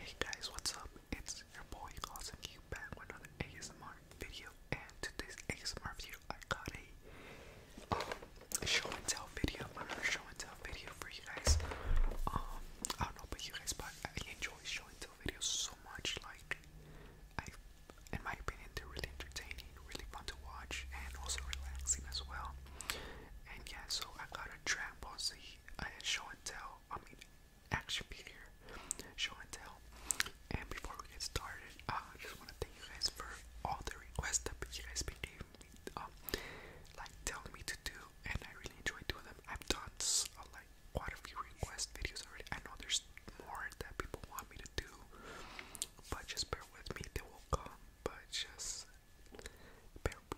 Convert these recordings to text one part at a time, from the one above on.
Hey guys, what's up? It's your boy Claus and you back with another ASMR video and today's ASMR video I got a um, show and tell video, another show and tell video for you guys. Um, I don't know but you guys but I enjoy show and the videos so much. Like, I, in my opinion, they're really entertaining, really fun to watch, and also relaxing as well. And yeah, so I got a Dragon Z, a uh, show and tell. I mean, action figure, show and tell. And before we get started, uh, I just want to thank you guys for all the requests that you guys been giving me, um, like telling me to do, and I really enjoy doing them. I've done a quite a few request videos already. I know there's more that people want me to do, but just bear with me, they will come. But just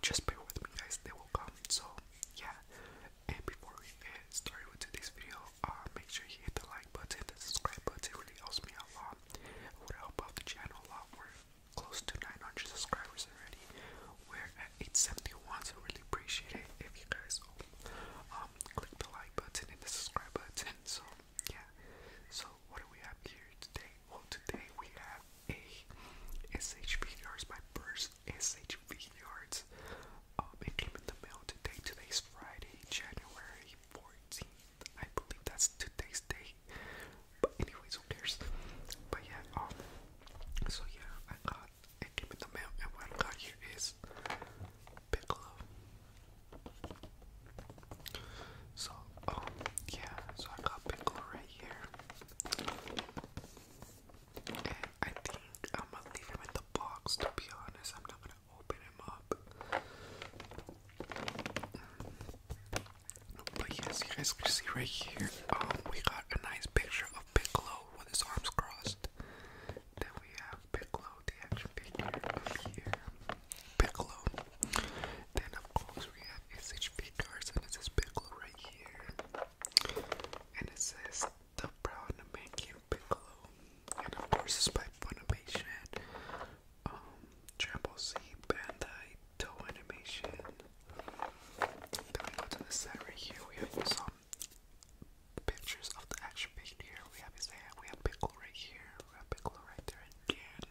just bear with me, guys, they will come. So, yeah. And before we get started with today's video, uh, make sure you hit the like button, the subscribe button, really helps me a lot. would help out the channel a lot. We're close to 900 subscribers already. We're at 871, so really appreciate it if you guys um click the like button and the subscribe button. So yeah. So what do we have here today? Well today we have a SHB yards, my first SHB yards. Um it came in the mail today. Today's Friday, January 14th. I believe that's today's date. But anyways, who But yeah, um, so yeah, I got it came in the mail, and what I got here is Piccolo. So um, yeah, so I got Piccolo right here, and I think I'm gonna leave him in the box. To be honest, I'm not gonna open him up. But yes, you guys can see right here, um, we got a nice picture of Piccolo with his arms crossed. Then we have Piccolo, the action figure up here. Piccolo. Then of course we have SHP cards and this is Piccolo right here. And it says the proud American Piccolo. And of course it's by Funimation. Um Triple Bandai toe animation. Then we go to the side right here. We have some pictures of the action figure. Here we have his hand. We have Piccolo right here. We have Piccolo right there again.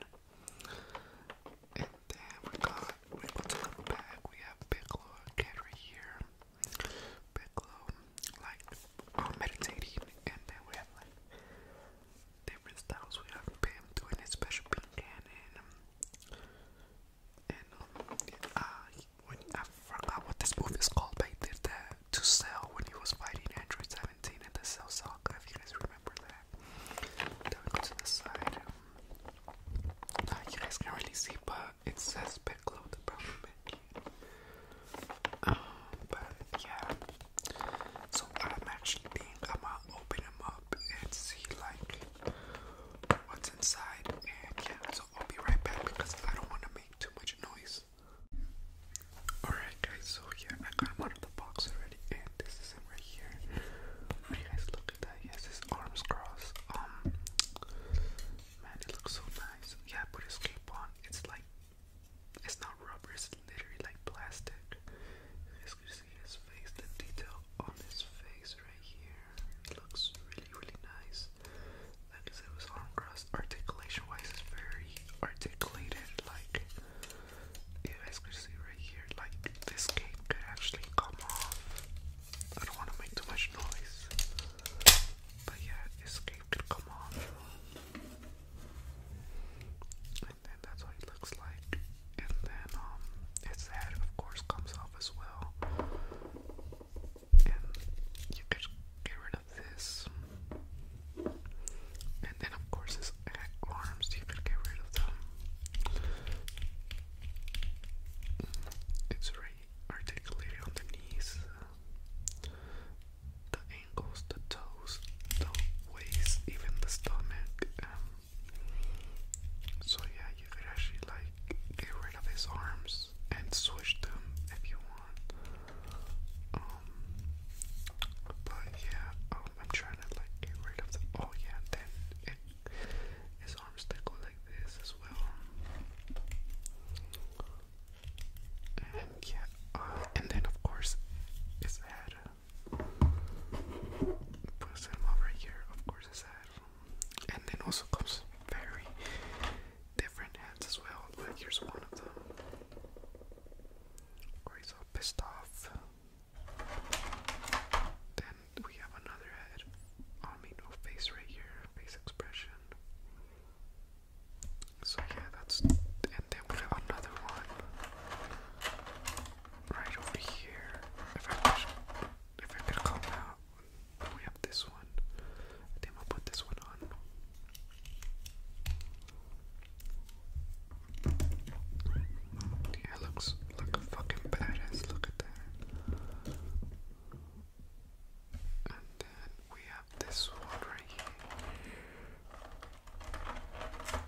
And then we got we to the back. We have Piccolo again right here. Piccolo like um, meditating, and then we have like different styles we have Pam doing, special pink and and um, um uh, I forgot what this movie is called, but he did that to sell when he was fighting Android 17 in the Cell saga. If you guys remember that, then we go to the side. Um, uh, you guys can't really see, but it says back load the problem. Um, but yeah, so I'm actually think I'm gonna open them up and see like what's inside. And yeah, so I'll be right back because I don't want to make too much noise. Alright guys, so yeah, I got him out of the box already and this is him right here. guys look at that, he has his arms crossed. Um man it looks so nice. Yeah, put his cape on. It's like it's not rubber, it's literally like plastic. As you see his face, the detail on his face right here. looks really, really nice. Like I it was arm Articulation wise, it's very articulated. Like, yeah, as you see right here, like this cape could actually come off. I don't want to make too much noise. But yeah, this cape could come off. And that's what he looks like. And then um his head of course comes off as well. And you could get rid of this. And then of course his arms, you could get rid of them. It's very articulated on the knees the toes, the waist, even the stomach. Um, so yeah, you could actually like get rid of his arms and switch them if you want. Um, but yeah, um, I'm trying to like get rid of them. Oh yeah, then his arms that go like this as well. And yeah, uh, and then of course his head. Uh, Puts him over here, of course his head. And then also comes very different heads as well. Like here's one of them. Where all pissed off. Then we have another head. I no face right here, face expression. So yeah, that's and then we have another one right over here. If I push, if I could come out, we have this one. I I'll put this one on. Yeah, looks like a fucking badass. Look at that. And then we have this one right here.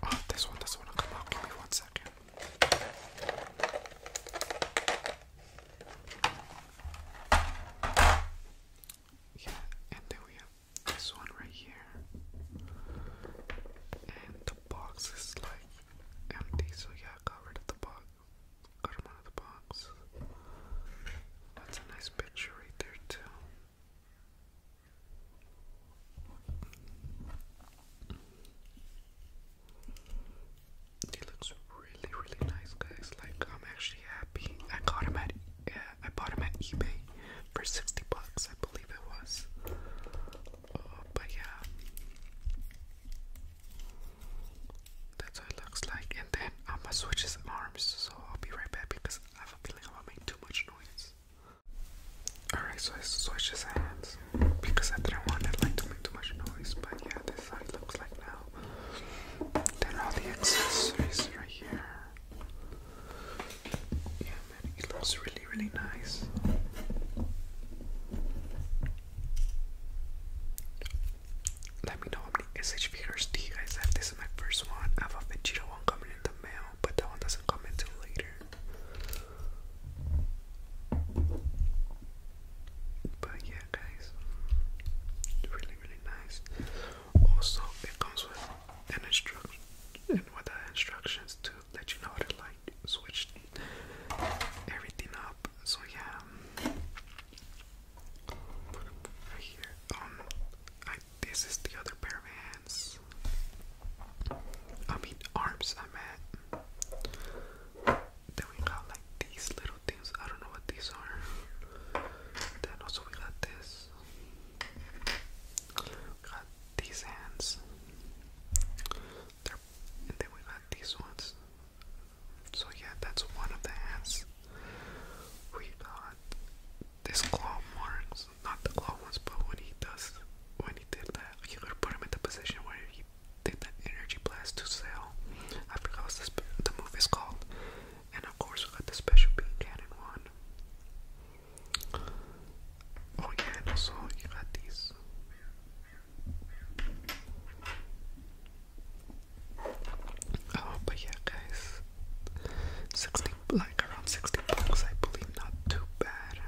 Oh, this one doesn't want to come out. Give me one second. Yeah, and then we have this one right here. And the box is like empty, so yeah, I got rid of the box. Got him out of the box. That's a nice picture right there, too. He looks really, really nice, guys. Like, I'm actually happy. I got him at, yeah, uh, I bought him at eBay for 60 bucks, I believe it was. Uh, but yeah, that's what it looks like. And then I'm gonna switch his arms, so I'll be right back because I have a feeling I'm gonna make too much noise. Alright, so I switched his hands because I didn't want it like to make too much noise, but yeah, this is how it looks like now. Then all the accessories right here. Yeah man, it looks really really nice. Let me know how many SH figures do you guys This is my first one. I have a Vegeta coming in the mail, but that one doesn't come until later. But yeah, guys, really, really nice. Also, it comes with an instruction and with the instructions to let you know how to like switch everything up. So yeah, right here. Um, this is the other pair of hands. I mean, arms, I meant. Then we got like these little things. I don't know what these are. Then also we got this. got these hands. and then we got these ones. So yeah, that's one of the hands. we got. This claw marks, not the claw ones, but when he does, when he did that, he could put him in the position where he did that energy blast to sell. I forgot what the, move is called. And of course, we got the special beam cannon one. Oh yeah, also you got these Oh, but yeah, guys, sixty like around sixty bucks, I believe, not too bad.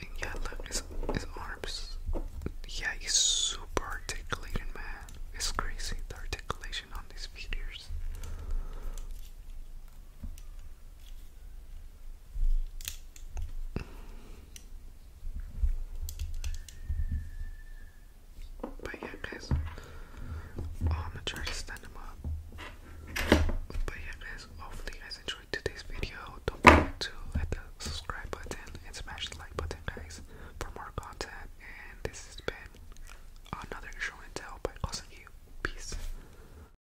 And yeah, look, his his arms. Yeah, he's super articulated, man. It's crazy the articulation on these figures. But yeah, guys. Oh, I'm gonna try to stand them up. But yeah, guys. Hopefully, you guys enjoyed today's video. Don't forget to hit the subscribe button and smash the like button, guys, for more content. And this has been another show and tell by Kosugi. Peace.